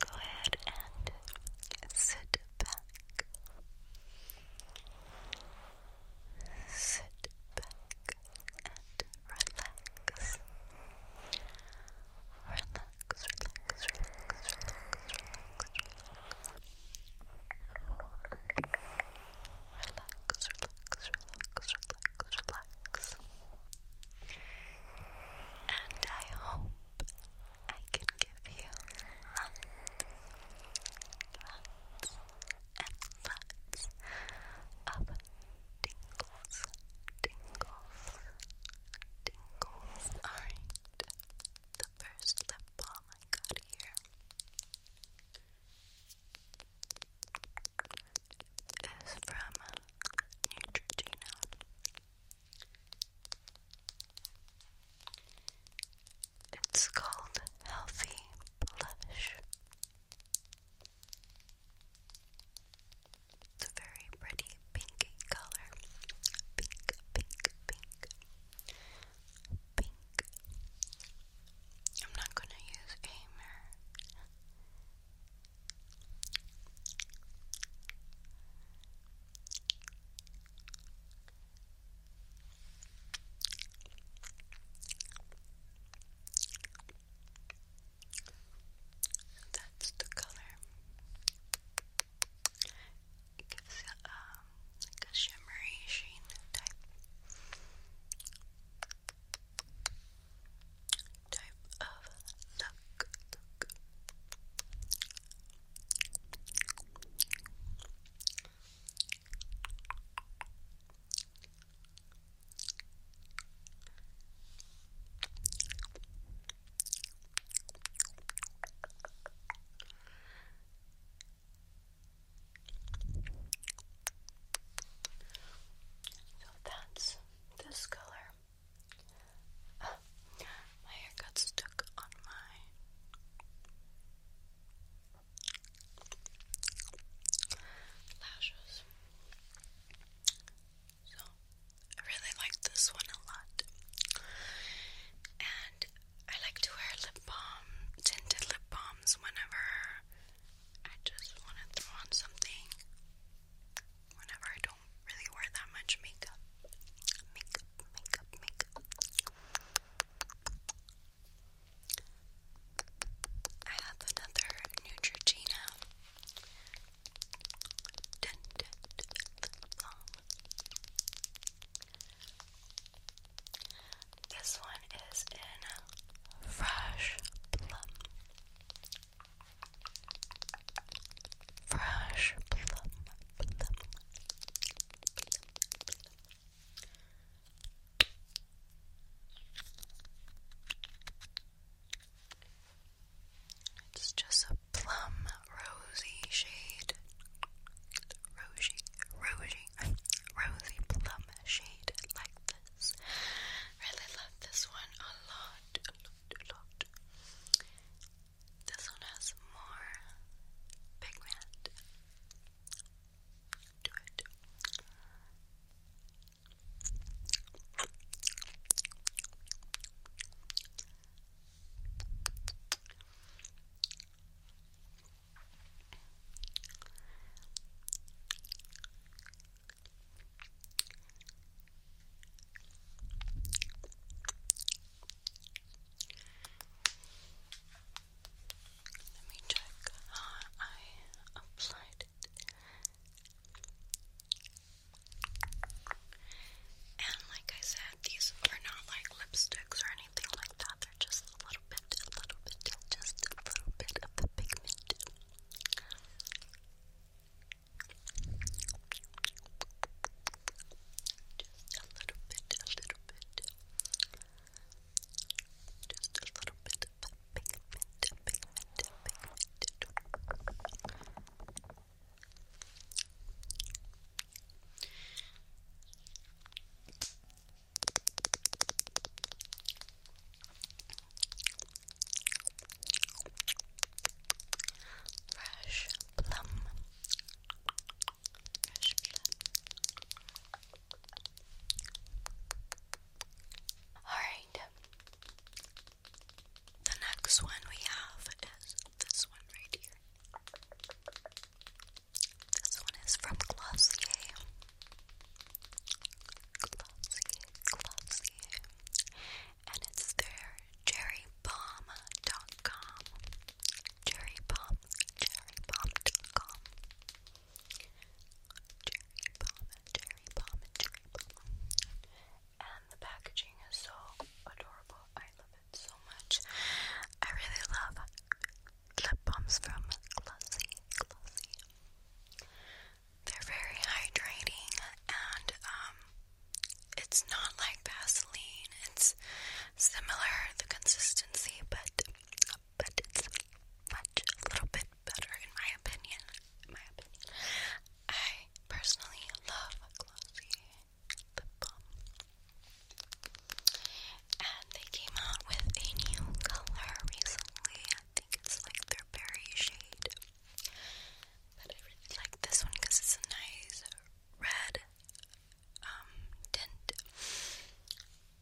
Go ahead and sit back. Sit back and relax. Relax, relax, relax, relax, relax, relax. Relax, relax, relax, relax, relax. And I hope I can give you lots, and lots of tingles, tingles, tingles. Alright, the first lip balm I got here is from Neutrogena. It's called Healthy Blush. It's a very pretty pinky color. Pink, pink, pink. Pink. I'm not going to use a that's the color. gives um, like a shimmery sheen type type of look. So that's this color my hair got stuck on my lashes. So, I really like this one a lot. And I like to wear lip balm, tinted lip balms whenever I just want to throw on something. Whenever I don't really wear that much makeup. Makeup, makeup, makeup. I have another Neutrogena This one is in Fresh Plum. Fresh plum, It's just a plum rosy shade. Rosy, rosy, rosy plum shade like this. Really love this one a lot. This one has more pigment to it. Let me check I applied it. And like I said, these are not like lipsticks or anything like that. They're just a little bit, a little bit, just a little bit of the pigment. Just a little bit, a little bit. Just a little bit of pigment, pigment, pigment. Fresh plum Fresh Alright. The next one we have is this one right here. This one is from Glossier. Glossier, Glossier and it's their cherrybomb.com. Cherrybomb, cherrybomb.com. Cherrybomb, cherrybomb, cherrybomb. And the packaging is so adorable. I love it so much. I really love lip balms from Glossy. Glossy. They're very hydrating and um it's not like Vaseline. It's similar the consistency, but but it's much a little bit better in my opinion. In my opinion, I personally love glossy lip balm, and they came out with a new color recently. I think it's like their berry shade. But I really like this one because it's a nice red um, tint.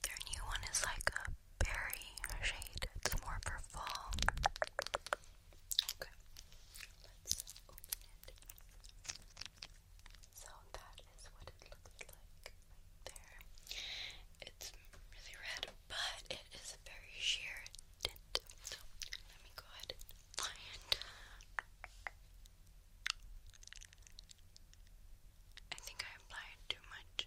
Their new one is like a berry shade. It's more for fall. Okay, let's open it. So that is what it looks like there. It's really red, but it is very sheer tint. So let me go ahead lion. I think I applied too much.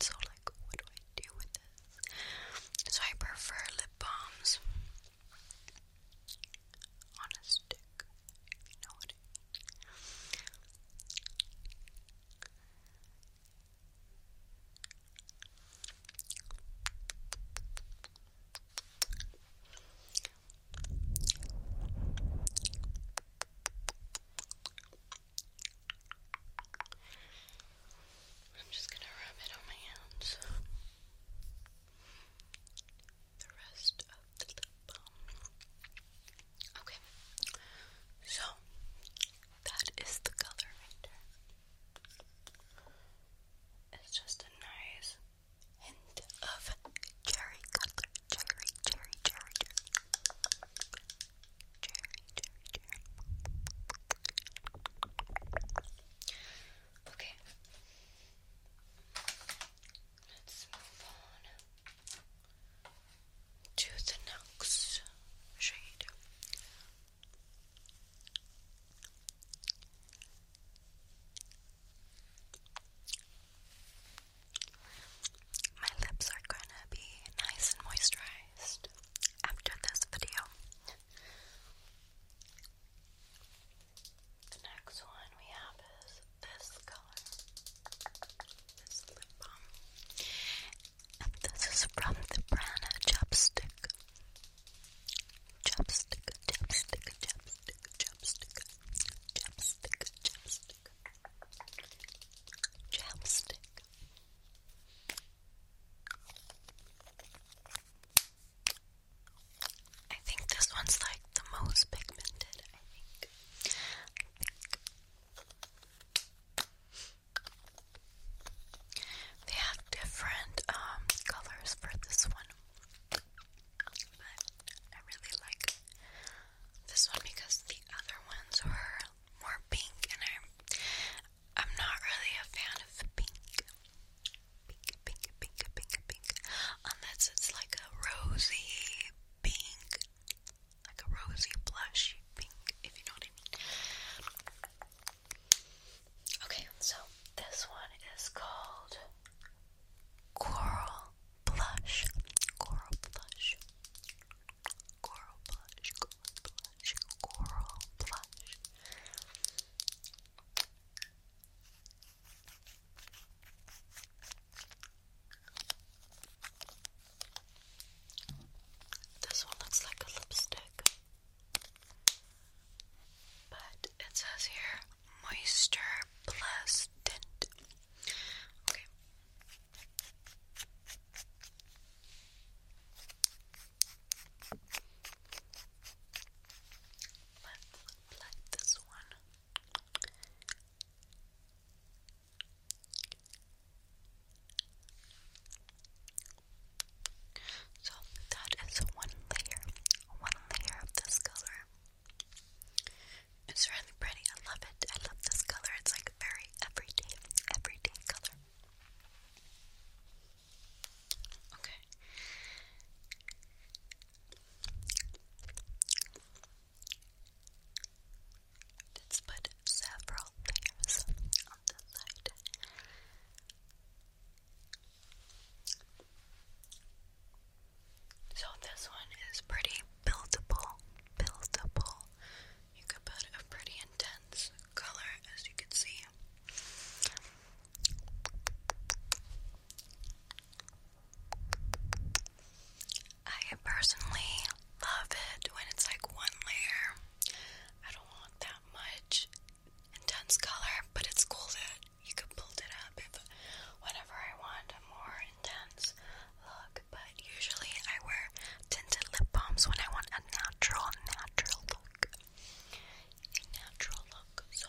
so like, what do I do with this? So I prefer lip balms on I'm just going to rub it on my hands. The rest of the lip Okay, so that is the color It's just a nice hint of cherry color. cherry, cherry, cherry. Okay. Let's move on to the next shade. My lips are gonna be nice and moisturized after this video. The next one we have is this color, this lip balm, and this is from the Prana Chopstick. Chopstick, chopstick, chopstick, chopstick, chopstick, chopstick, chopstick, I think this one's like the most pigmented, I think. They have different um, colors for this one. But I really like this one because the other ones were more pink and I I'm not really a fan of the pink. Pink, pink, pink, pink, pink. Unless it's like a rosy pink. Like a rosy blush pink, if you know what I mean. Okay, so this one is called Coral Blush. Coral Blush. Coral blush, coral blush, coral blush. This one looks like a lipstick, but it says here Moisture Plus Tint. Okay. Let's plug this one. So that is one layer, one layer of this color. It's really pretty. I love it. I love this color. It's like a very everyday, everyday color. Okay. let put several layers on the light. So this one is pretty buildable, buildable, you could put a pretty intense color, as you can see. I personally love it when it's like one layer. I don't want that much intense color, but it's cool that you could build it up if whenever I want a more intense look. But usually I wear tinted lip balms when I want a natural, natural look. A natural look, so yes.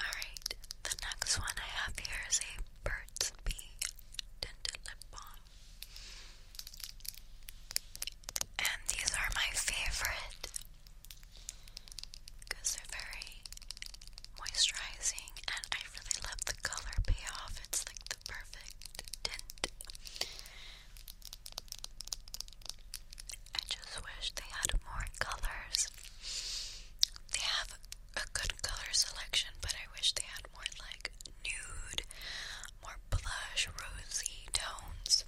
Alright, the next one I have here is a Burt's Bee Tinted Lip Balm. And these are my favorite because they're very moisturizing and I really love the color payoff. It's like the perfect tint. I just wish they had more colors. They have a good color selection, but I wish they had more like nude, more blush, rosy tones.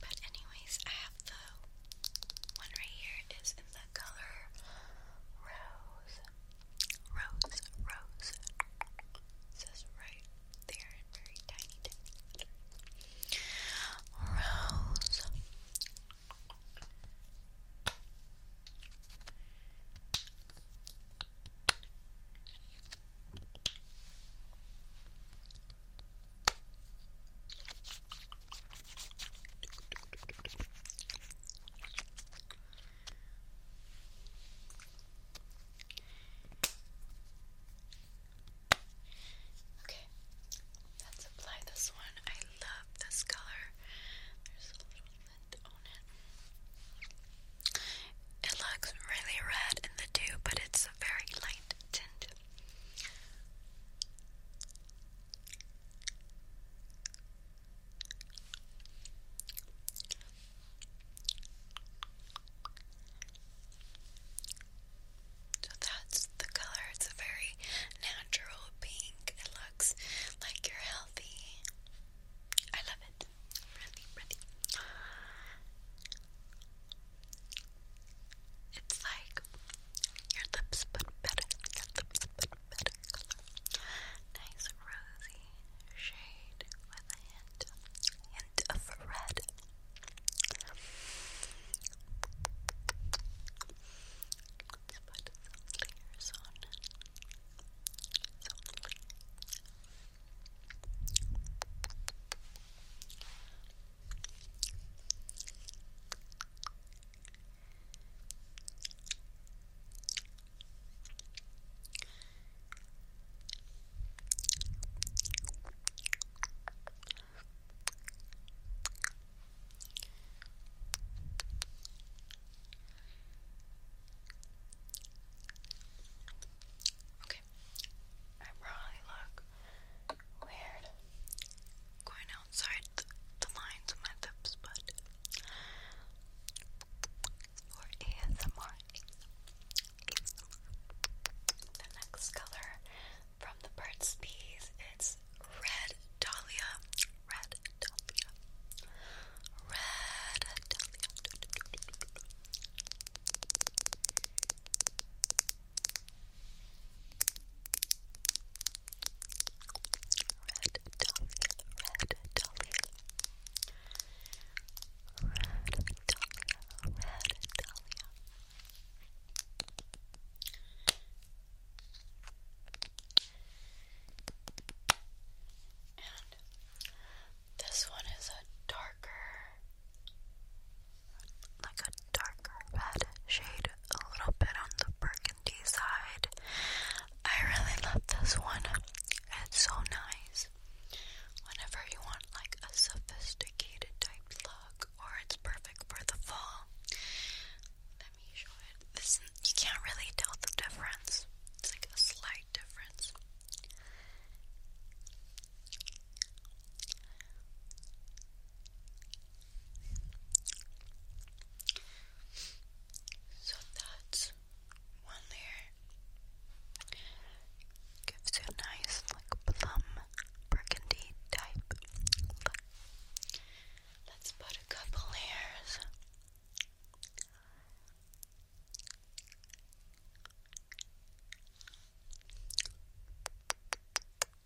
But, anyways, I have the one right here is in the color rose. Rose, rose. It says right there in very tiny, tiny letters. Rose. Okay, let's apply this one. I love this color. There's a little lint on it. It looks really red in the dew, but it's a very light tint. So that's the color. It's a very natural pink. It looks like you're healthy. I love it. Really, really. It's like your lips but better, Nice rosy shade with a hint, hint of red. let layers on. Okay, I probably look Weird. Going outside the, lines of my lips, but for ASMR. The next color from the Burt's Bees, it's Red Dahlia. Red Dahlia. Red Dahlia. Red Dolly, Red Dolly. Red Dahlia, Red Dahlia. And this one is a darker like a darker red shade, a little bit on the burgundy side. I really love this one. It's so nice. Whenever you want like a sophisticated type look, or it's perfect for the fall. Let me show it. This you can't really tell the difference. It's like a slight difference. So that's one layer. Gives you a nice, like, plum burgundy type Let's put a couple layers. I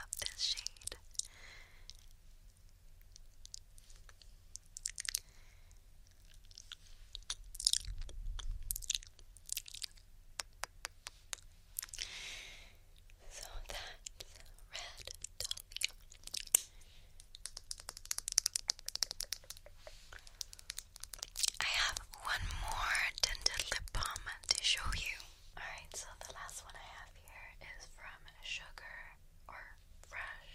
love this shade. So that's red I have one more tinted lip balm to show you. Alright, so the last one I have here is from Sugar or fresh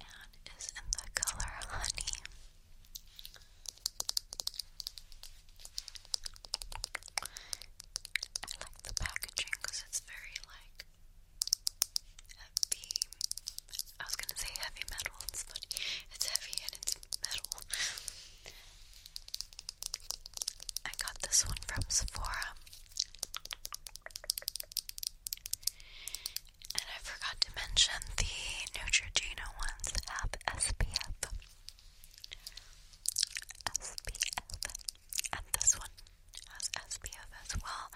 and is in the color honey. I like the packaging because it's very like heavy. I was gonna say heavy metal, it's It's heavy and it's metal. I got this one from Sephora. And I forgot to mention the Neutrogena ones have SPF. SPF. And this one has SPF as well.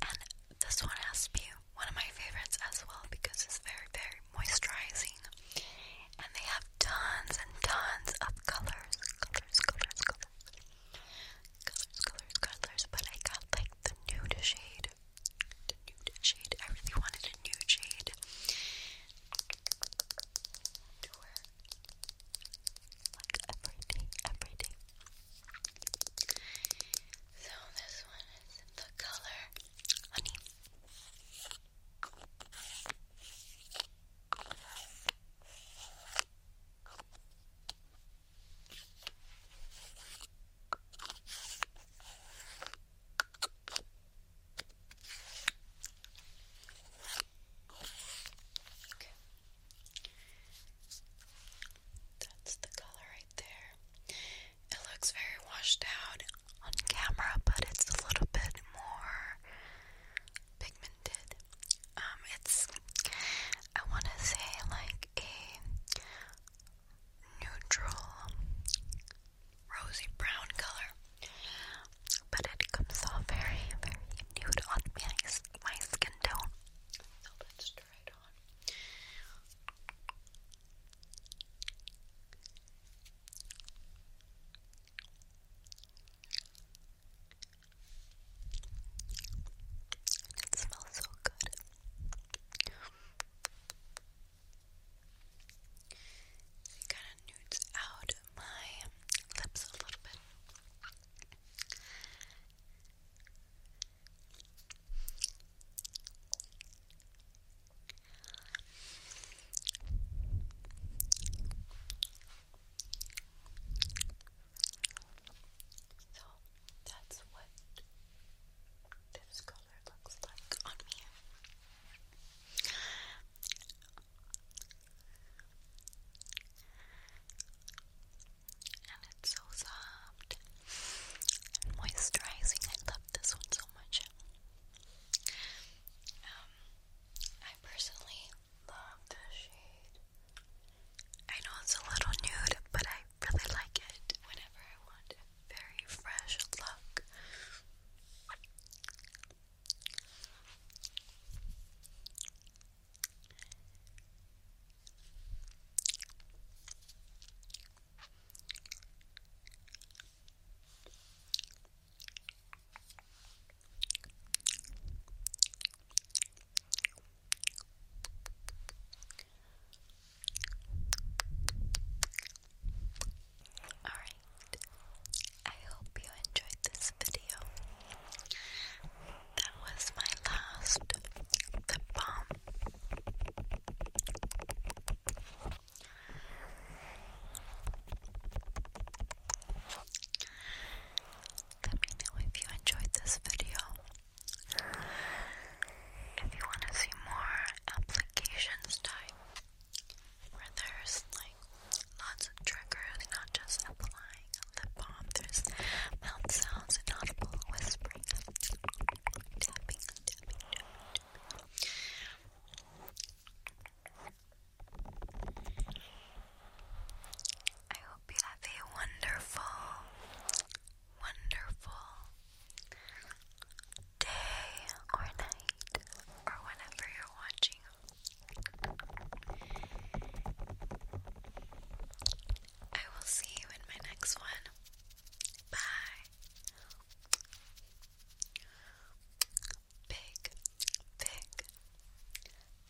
And this one has to be one of my favorites as well because it's very, very moisturizing. And they have tons and tons of colors, colors, colors, colors. Colors, colors, colors, but I got like the nude shade. The nude shade. I really wanted a nude shade. To wear like every day, every day. So this one is the color honey. That's the color right there. It looks very washed out on camera, but it's a little bit more pigmented. Um, it's I want to say like a neutral rosy brown color, but it comes off very, very nude on my, my skin tone. So let's try it on. It smells so good. It kind of nudes out my lips a little bit. So that's what this color looks like on me. And it's so soft and moisturizing. I love this one so much. Um, I personally love this shade. I know it's a little nude, but I really like it whenever I want very fresh look. Alright, I hope you enjoyed this video. That was my last lip balm. Let me know if you enjoyed this video. If you want to see more applications type, where there's like lots of triggers, not just applying lip balm, there's mouth sounds, inaudible whispering, tapping, tapping, tapping, tapping. I hope you have a wonderful, wonderful day or night or whenever you're watching. I will see you in my next one. Bye. Big, big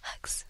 hugs.